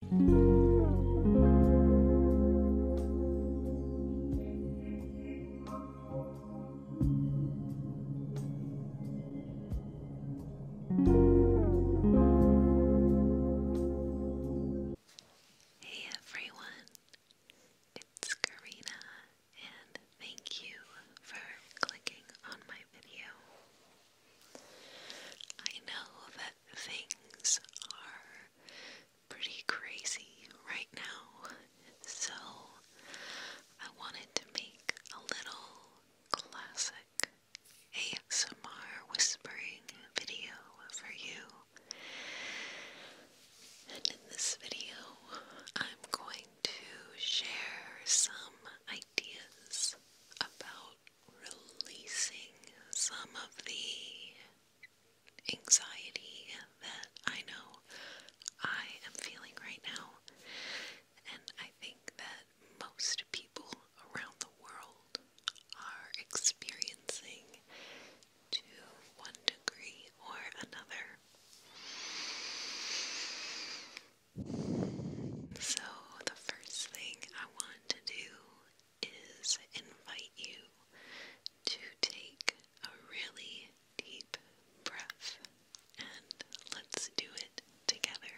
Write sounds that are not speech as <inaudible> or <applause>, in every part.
Hey everyone, it's Karina, and thank you for clicking on my video. I know that things are pretty crazy right now, so I wanted to make a little classic ASMR whispering video for you. And in this video, I'm going to share some ideas about releasing some of the anxiety that I know I am feeling right now. And I think that most people around the world are experiencing to one degree or another. So, the first thing I want to do is invite you to take a really deep breath and let's do it together.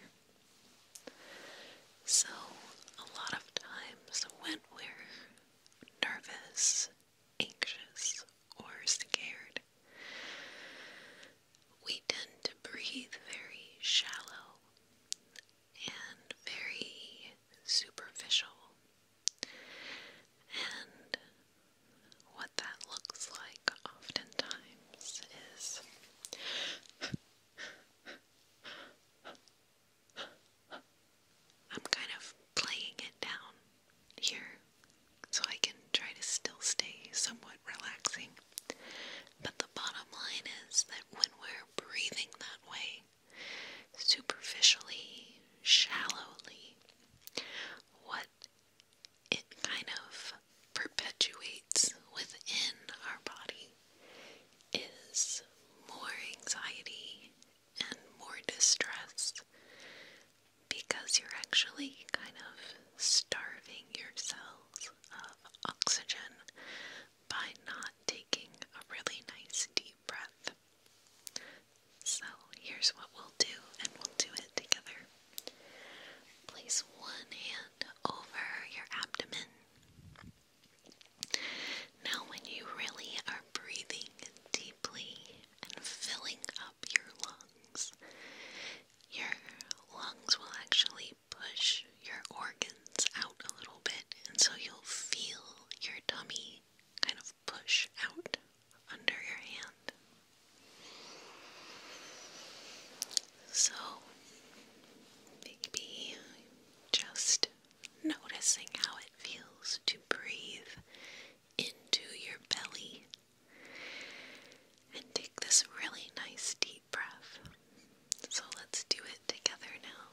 So, a lot of times when we're nervous, anxious, or scared, we tend to breathe very shallow and very superficial. And what that looks like oftentimes is I'm kind of playing it down here so I can try to still stay somewhat relaxing. But the bottom line is that when we're breathing that way, superficially, shallowly, what it kind of perpetuates within our body is more anxiety and more distress because you're actually kind of starving your cells of oxygen by not taking a really nice deep breath. So here's what we'll do, and we'll do it together. Place one hand over your abdomen. Now, when you really are breathing deeply and filling up your lungs, your lungs will actually push your organs out a little bit, and so you'll feel your tummy kind of push out under your hand. So, maybe just noticing how it feels to breathe into your belly and take this really nice deep breath. So let's do it together now.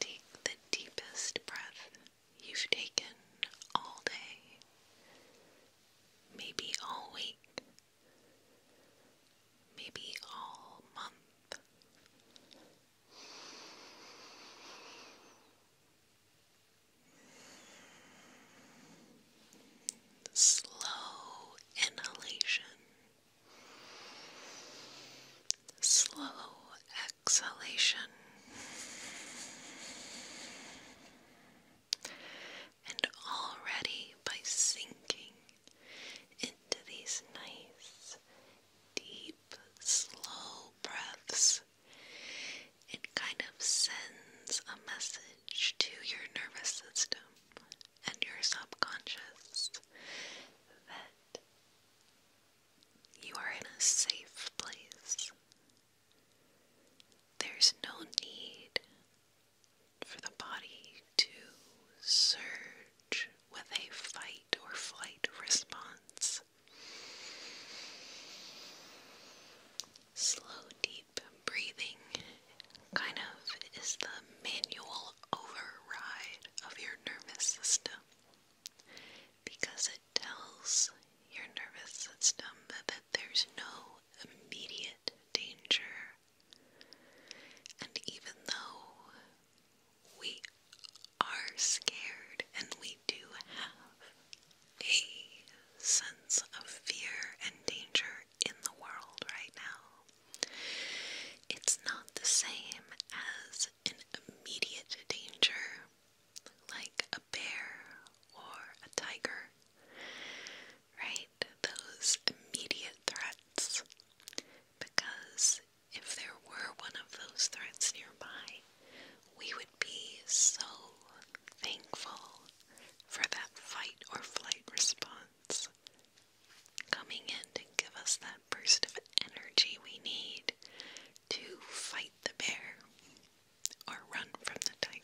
Take the deepest breath you've taken all day, maybe all week, maybe all month. Slow inhalation Slow exhalation and already by sinking into these nice deep slow breaths it kind of sends a message to your nervous system and your subconscious that you are in a safe place. There's no need for the body to surge with a fight or flight response. Slow, deep breathing kind of is the manual override of your nervous system because it tells your nervous system that, that there's no immediate danger. And even though we are scared and we do have a sense of fear and danger in the world right now, it's not the same as an immediate danger, like a bear or a tiger, right? Those immediate threats. Because if there were one of those threats nearby, we would be so thankful for that fight or flight response coming in to give us that burst of energy we need to fight the bear or run from the tiger.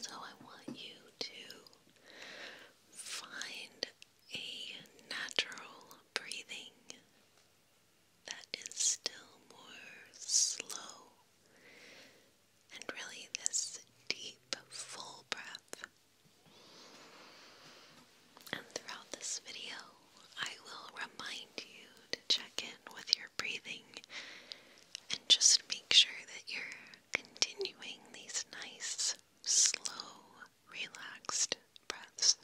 so I want you to find a natural breathing that is still more slow, and really this deep, full breath. And throughout this video, I will remind you to check in with your breathing and just make sure that you're continuing these nice, slow, relaxed breaths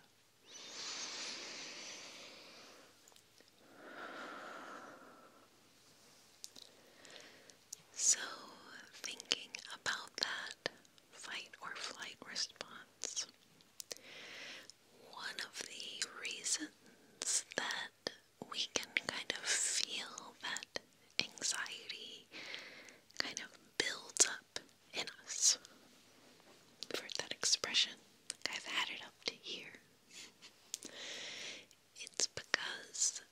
so, thinking about that fight or flight response, one of the reasons that we can kind of feel that anxiety kind of builds up in us. You've heard that expression. I've had it to here. It's because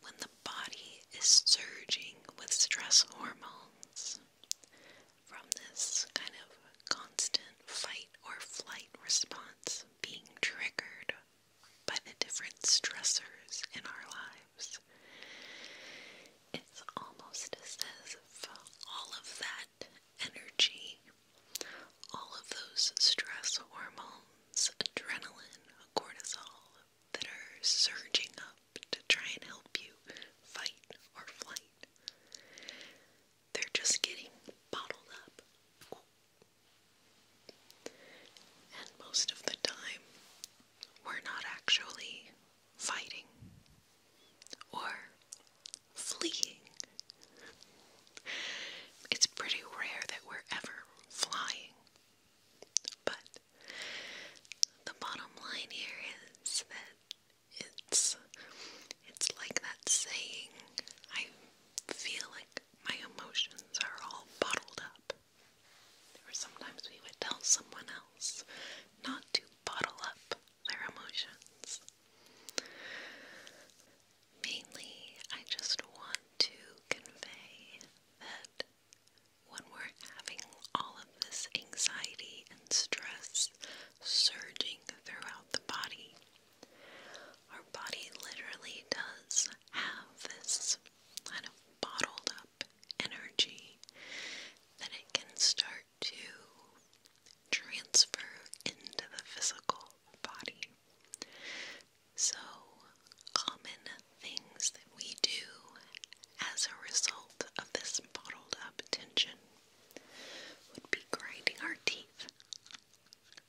when the body is surging with stress hormones from this kind of constant fight or flight response being triggered by the different stressors in our lives, it's almost as if all of that energy all of those stress hormones, adrenaline, cortisol, that are surging up to try and help you fight or flight, they're just getting bottled up. And most of the time, we're not actually fighting or fleeing. It's pretty rare that we're ever flying. But the bottom line here is that it's it's like that saying, I feel like my emotions are all bottled up. Or sometimes we would tell someone else not to bottle up their emotions. Mainly, I just want to convey that when we're having all of this anxiety and stress surging throughout the body, our body literally does have this kind of bottled up energy that it can start to transfer into the physical body. So, common things that we do as a result of this bottled up tension would be grinding our teeth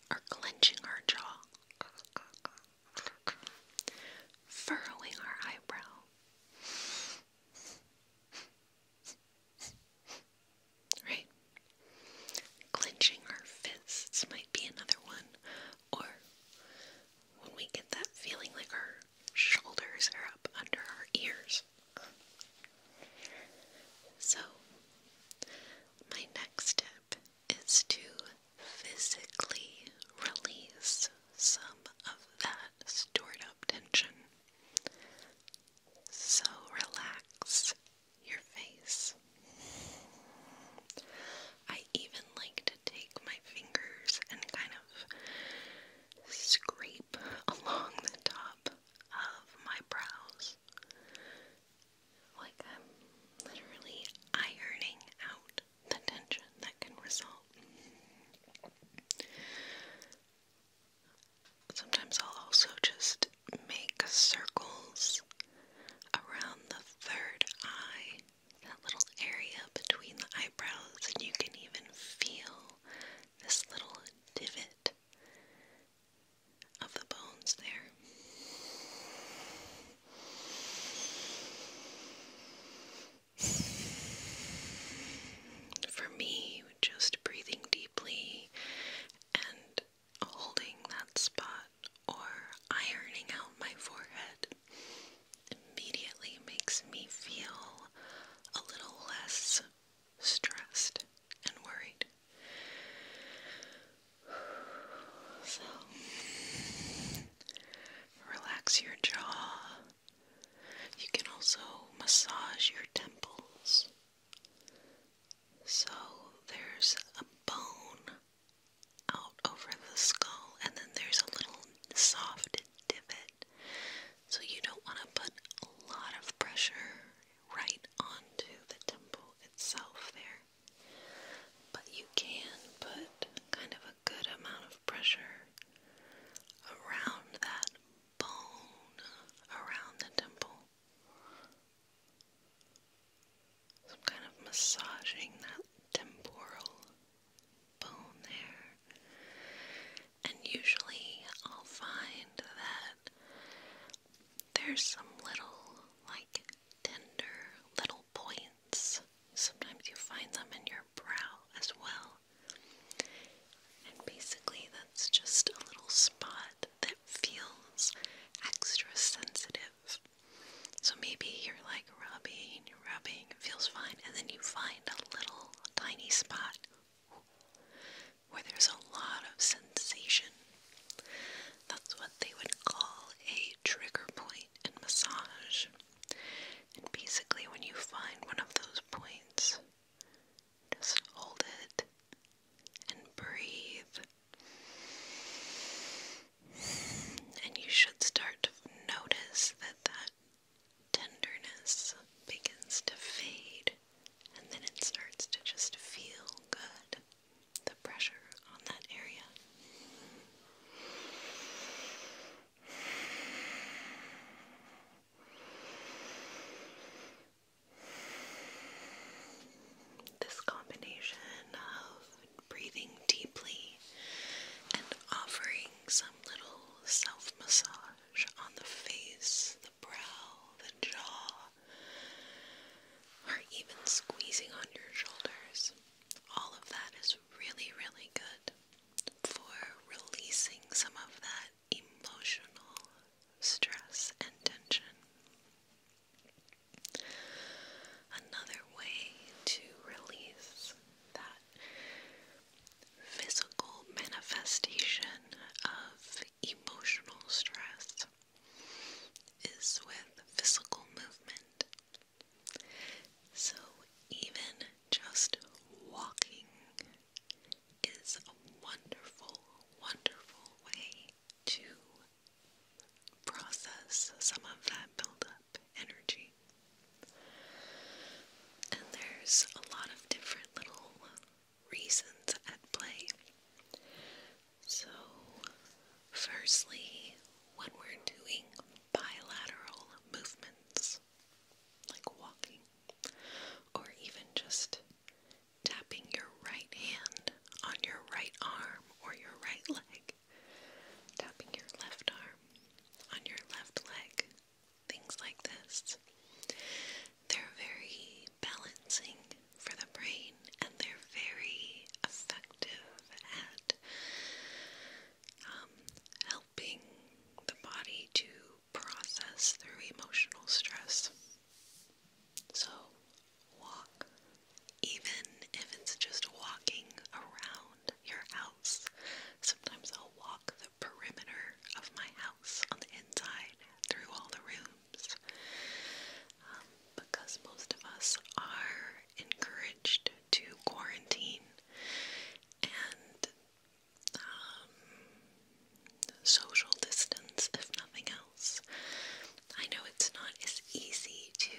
or clenching our jaw, furrowing our eyebrow. Right? Clenching our fists might be another one. Or when we get that feeling like our shoulders are up under our ears. So, my next step is to physically release some of that stored up tension. So relax your face. I even like to take my fingers and kind of scrape <laughs> along the top of my brows. Like I'm literally ironing out the tension that can result. Sometimes I'll also just make circles around the third eye, that little area between the eyebrows, and you can even feel this little divot of the bones there. For me, just breathing deeply and holding that spot or ironing out my forehead immediately makes me feel a little less stressed and worried. So, relax your jaw, you can also massage your temples. So there's a bone out over the skull, and then there's a little soft divot. So you don't want to put a lot of pressure right onto the temple itself there. But you can put kind of a good amount of pressure around that bone around the dimple. So kind of massaging that temporal bone there. And usually I'll find that there's some little, like, tender little points. Sometimes you find them in your brow as well. And basically, that's just a little spot that feels extra sensitive. So maybe you're like rubbing and you're rubbing, it feels fine, and then you find a little tiny spot where there's a lot of sensation. That's what they would call a trigger point in massage. And basically, when you find one of those points, just hold it and breathe. And you should start to notice that that tenderness begins to fade and then it starts to just feel good. The pressure on that area. This combination of breathing deeply and offering some little self massage on the face, the brow, the jaw, or even squeezing on your shoulders. All of that is really, really good for releasing some of that emotional stress and tension. Another way to release that physical manifestation of emotional stress is with physical movement. So, even just walking is a wonderful, wonderful way to process some of that buildup energy. And there's a lot of different little reasons at play. So, firstly, when we're doing bilateral movements, like walking, or even just tapping your right hand on your right arm or your right leg, tapping your left arm on your left leg, things like this. They're very balancing for the brain and they're very effective at um, helping the body to process through emotional stress. So, walk, even if it's just walking around your house. Sometimes I'll walk the perimeter of my house on the inside through all the rooms. Um, because most of us are encouraged to quarantine, and um, social distance, if nothing else. I know it's not as easy to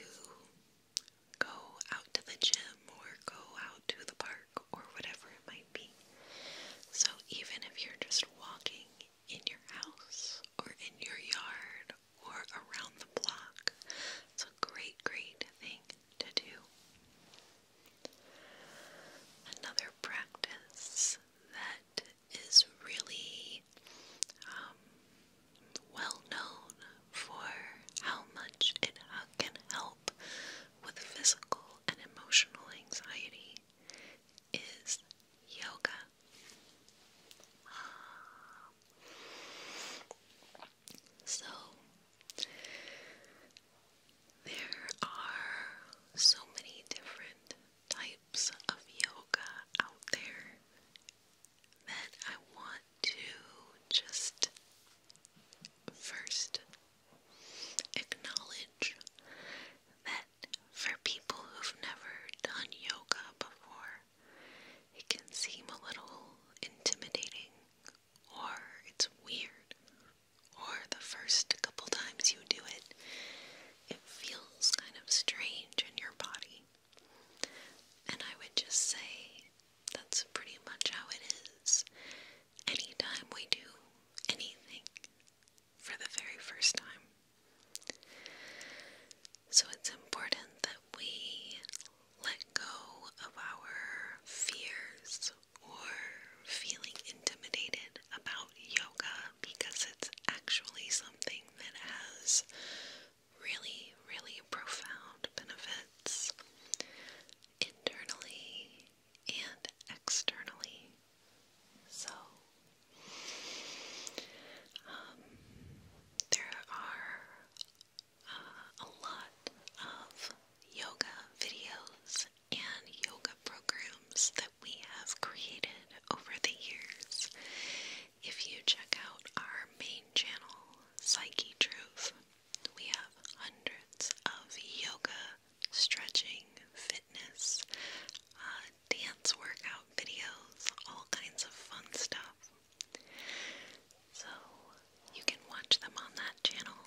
go out to the gym or go out to the park or whatever it might be. So, even if you're just walking in your house or in your yard or around the block, it's a great, great thing to do. Another practice that is really um, well known for how much it can help with physical and emotional anxiety is yoga. So, there are so many different types of yoga out there that I want to just first acknowledge that for people who've never done yoga before, it can seem a little intimidating or it's weird, or the first couple times you do it, it feels kind of strange in your body. And I would just say that's pretty much how it is. Anytime we do anything for the very first time. So it's important that we let go of our fears or feeling intimidated about yoga because it's actually something that has really, really profound benefits internally and externally. So, um, there are uh, a lot of yoga videos and yoga programs that we have created over the years. If you check out our main channel, Psyche Truth, we have hundreds of yoga, stretching, fitness, uh, dance workout videos, all kinds of fun stuff. So, you can watch them on that channel.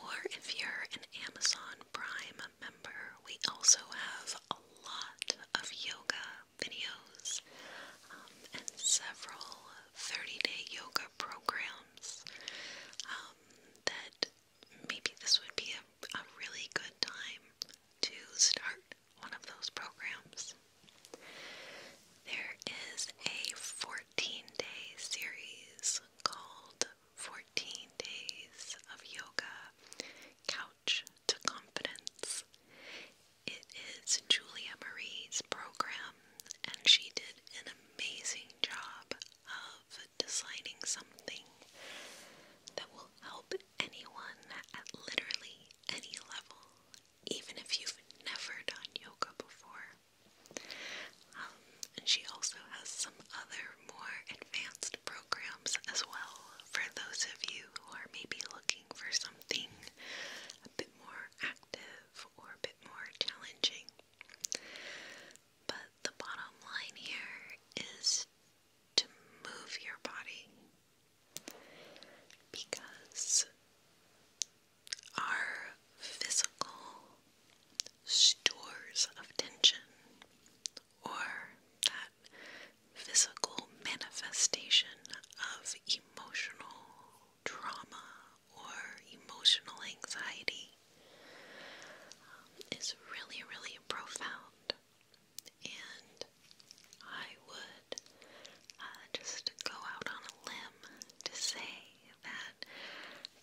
Or if you're an Amazon Prime member, we also have a lot of yoga videos um, and several 30 day yoga programs um, that maybe this would be a, a really good time to start one of those programs. There is a 14 day series called 14 Days of Yoga Couch to Confidence. It is Julia Marie's program, and she did an amazing job of designing something that will help anyone at literally any level, even if you've never done yoga before. Um, and she also has some other more advanced programs as well for those of you who are maybe looking for something a bit more active or a bit more challenging. But the bottom line here is to move your body because are physical stores of tension or that physical manifestation of emotional trauma or emotional anxiety um, is really, really profound. And I would uh, just go out on a limb to say that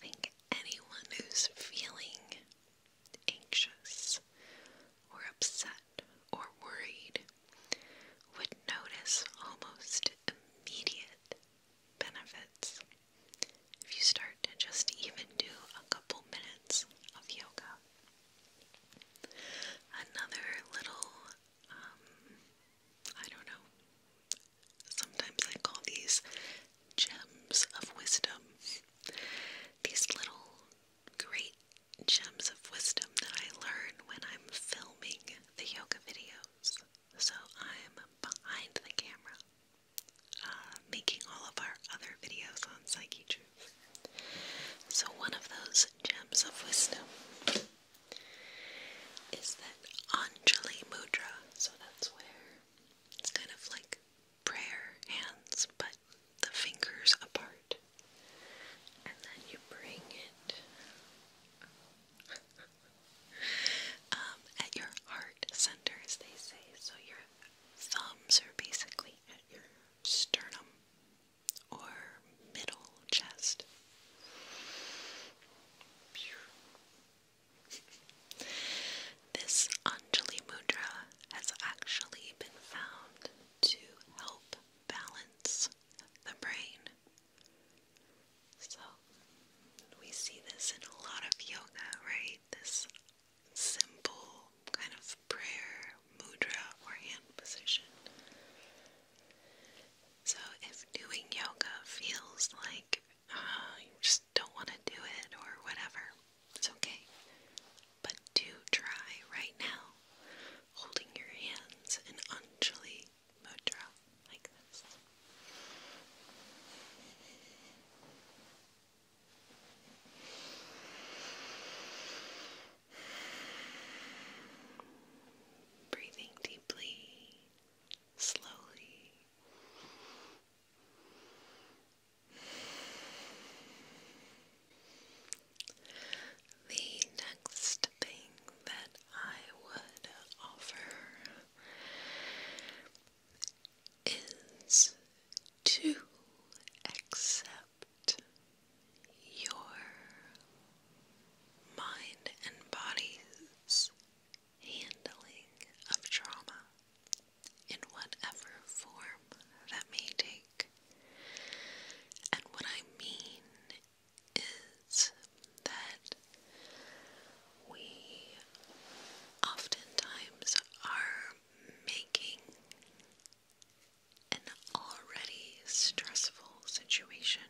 think anyone who's feeling anxious or upset or worried would notice almost immediate benefits if you start to just even do a couple minutes of yoga. Another little, um, I don't know, Sometimes I call these gems of wisdom. These little great gems of wisdom that I learn when I'm filming the yoga videos. So I'm behind the camera, uh, making all of our other videos on Psyche Truth. So one of those gems of wisdom is that Anjali Mudra. So that's where it's kind of like prayer hands, but the fingers apart. And then you bring it <laughs> um, at your heart center, as they say. So your thumbs are basically at your sternum or middle chest. This Anjali Mudra has actually been found to help balance the brain. So, we see this in a lot of yoga, right? This simple kind of prayer, mudra, or hand position. So, if doing yoga feels like uh, you just don't want to do it or whatever, it's okay. But do try right now, holding your hands in Anjali Mudra like this. Breathing deeply slowly. The next thing that I would offer is to accept your mind and body's handling of trauma in whatever form that may take. And what I mean is that we oftentimes are making an already stressful situation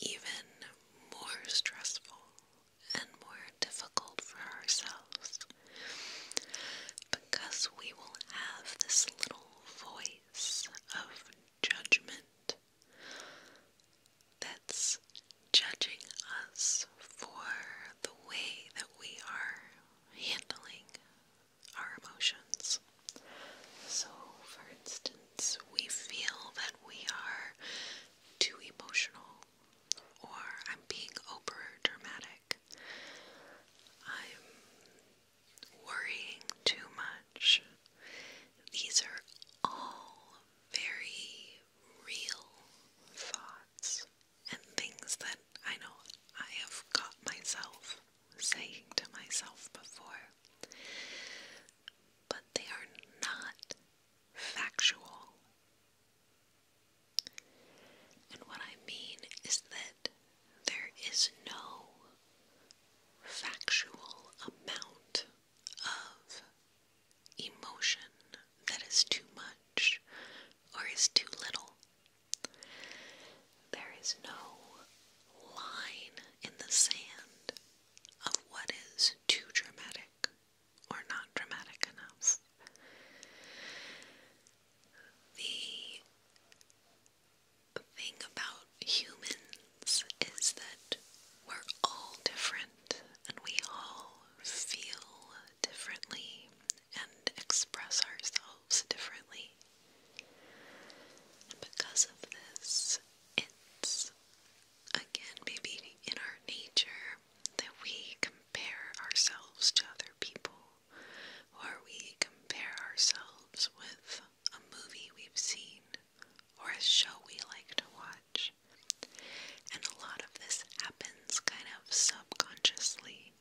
even more stressful and more difficult for ourselves because we will have this little voice of judgment that's judging us for the way that we are handling our emotions. So, for instance, we feel that we are too emotional or I'm being over dramatic. I'm worrying too much. These are all very real thoughts and things that I know I have got myself saying to myself before but they are not factual. And what I mean is that there is no factual amount of emotion that is too much or is too little. There is no line in the sand of what is too dramatic or not dramatic enough. The thing about humans is that we're all different and we all feel differently and express ourselves differently. because of this, it's again, maybe in our nature, that we compare ourselves to other people, or we compare ourselves with a movie we've seen, or a show we like to watch. And a lot of this happens kind of subconsciously.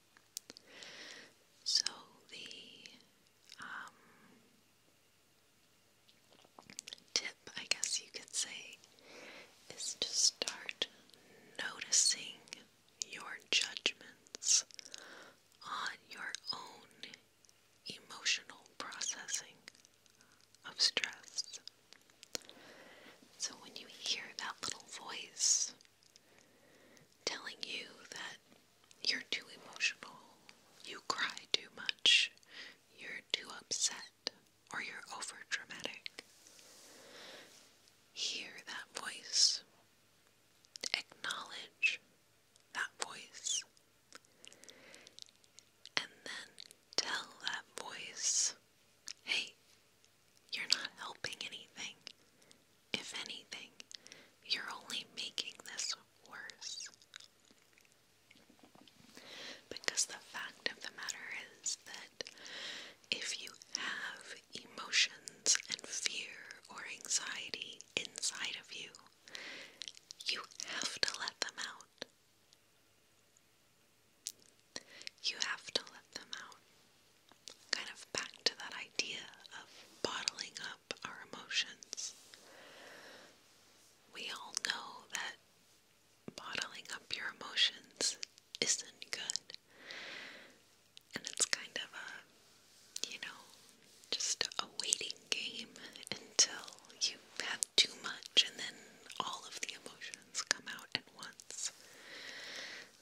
So the um, tip, I guess you could say, is to start noticing your judgments on your own emotional processing of stress. So when you hear that little voice telling you that you're too emotional, you cry too much, you're too upset or you're over dramatic. Hear that voice. Acknowledge that voice. And then tell that voice, hey, you're not helping anything. If anything, you're only making this worse. Because the fact of the matter is that if you have emotions and fear or anxiety inside of you, you have to let them out. You have to let them out. Kind of back to that idea of bottling up our emotions we all know that bottling up your emotions isn't good. And it's kind of a, you know, just a waiting game until you've had too much and then all of the emotions come out at once.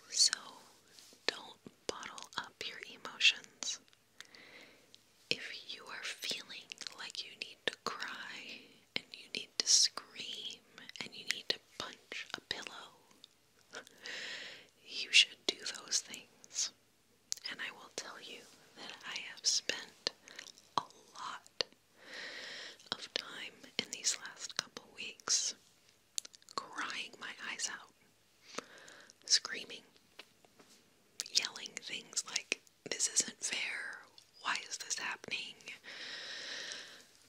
So don't bottle up your emotions. If you are feeling like you need to cry and you need to scream and you need to punch a pillow, <laughs> you should do those things. And I will tell you that I have spent a lot of time in these last couple weeks crying my eyes out, screaming, yelling things like, this isn't fair. Why is this happening?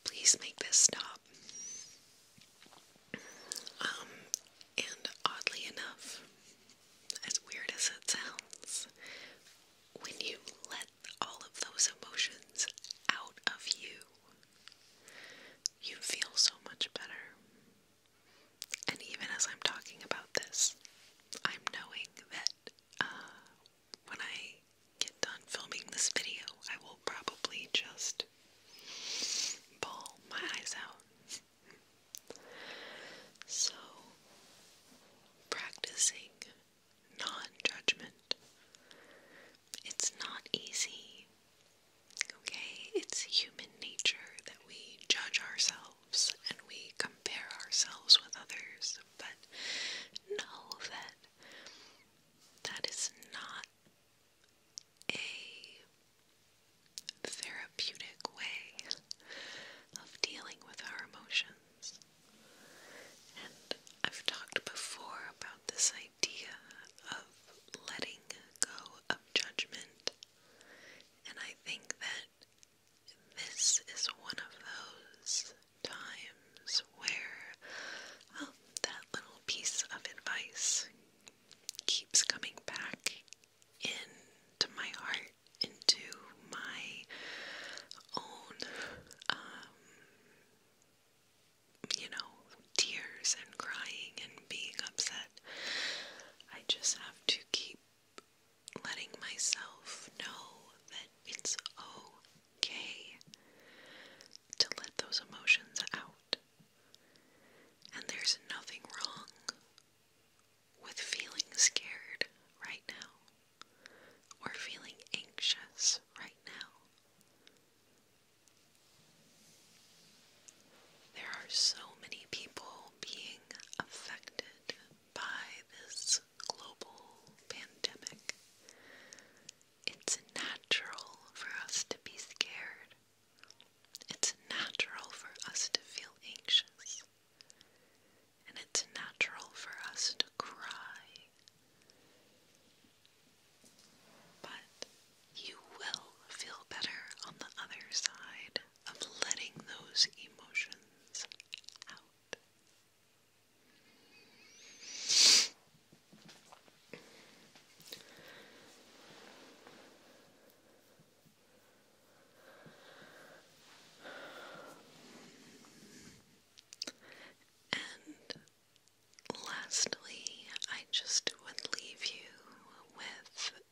Please make this stop. Um, and oddly enough, as weird as it sounds, when you let all of those emotions out of you, you feel so much better. And even as I'm talking about this, I'm knowing that uh, when I get done filming this video, I will probably just bawl my eyes out. so, practicing non judgment. It's not easy. Okay, it's human nature that we judge ourselves and we compare ourselves with others, but know that that is not a therapeutic way of dealing with our emotions. And I've talked before about this idea of letting go of judgment, and I think that this is one of those times where that little piece of advice keeps coming back into my heart, into my own, um, you know, tears and crying and being upset. I just have to keep letting myself know that it's okay to let those emotions out. And there's nothing wrong with feeling scared right now or feeling anxious right now. There are so many people being affected by this global pandemic. It's natural for us to be scared. It's natural for us to feel anxious. And it's natural for us to cry. But you will feel better on the other side of letting those emotions out. And lastly, I just would leave you with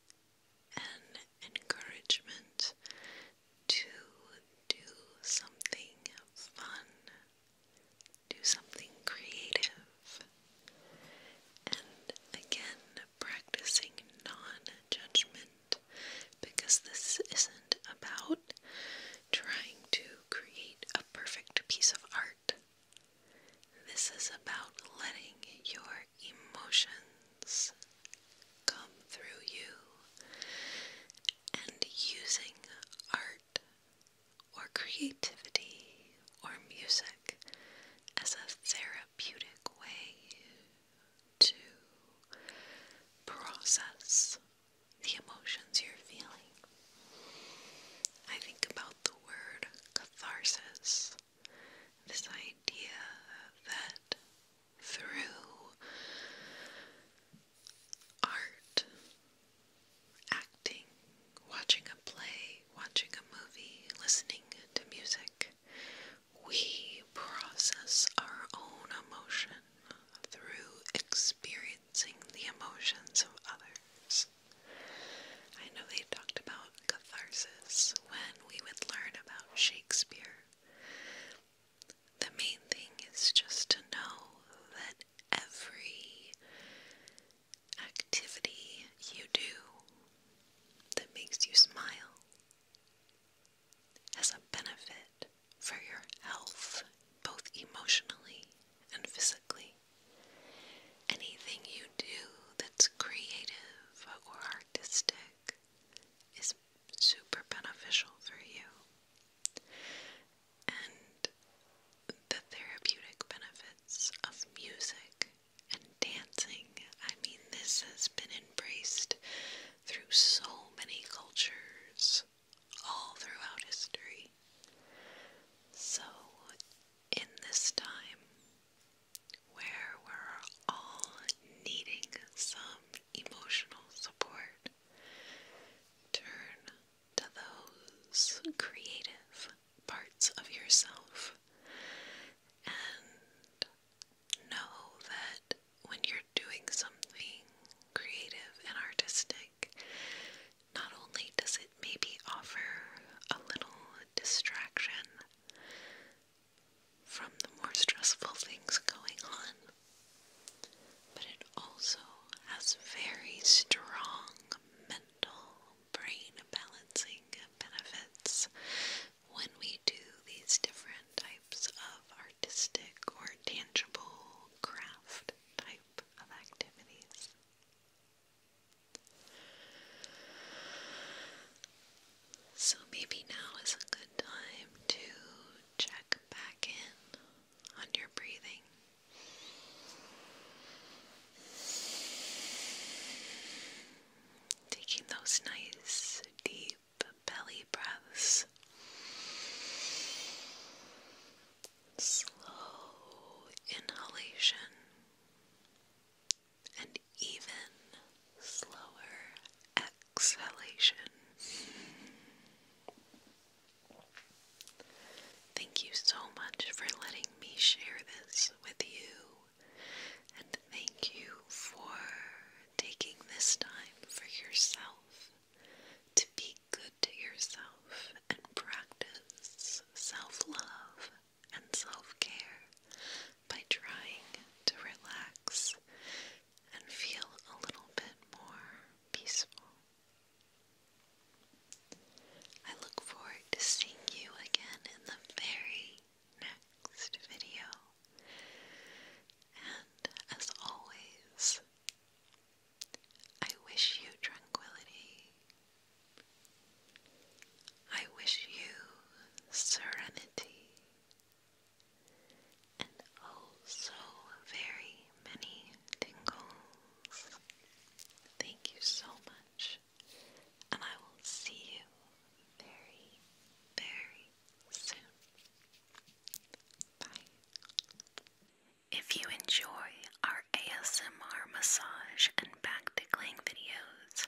an encouragement to do something fun, do something creative, and again, practicing non judgment because this isn't about trying to create a perfect piece of art. This is about letting your emotions come through you and using art or creativity or music as a therapeutic way to process the emotions you're feeling. I think about the word catharsis this idea that through art, acting, watching a play, watching a movie, listening to music, we process our own emotion through experiencing the emotions of others. I know they talked about catharsis when we would learn about Shakespeare. The main thing is just to know that every activity you do that makes you smile has a benefit for your health, both emotionally and physically. Anything you do that's creative or artistic is super beneficial for you. And the therapeutic benefits of music and dancing, I mean, this has been embraced through so many cultures all throughout history. So, in this time, where we're all needing some emotional support, turn to those creative parts of yourself and know that when you're doing something creative and artistic, not only does it maybe offer a little distraction, from the more stressful things going on, but it also has very strong mental brain balancing benefits when we do these different types of artistic or tangible craft type of activities. So maybe now is a good time to check back in on your breathing. Taking those nice deep belly breaths. Slow inhalation and even slower exhalation. Thank you so much for letting me share this with you, and thank you for taking this time for yourself to be good to yourself and practice self love and self care by trying to relax and feel a little bit more peaceful. I look forward to seeing you again in the very next video. And as always, I wish you tranquility I wish you serenity and oh very many tingles. Thank you so much, and I will see you very, very soon. Bye. If you enjoy our ASMR massage and back tickling videos,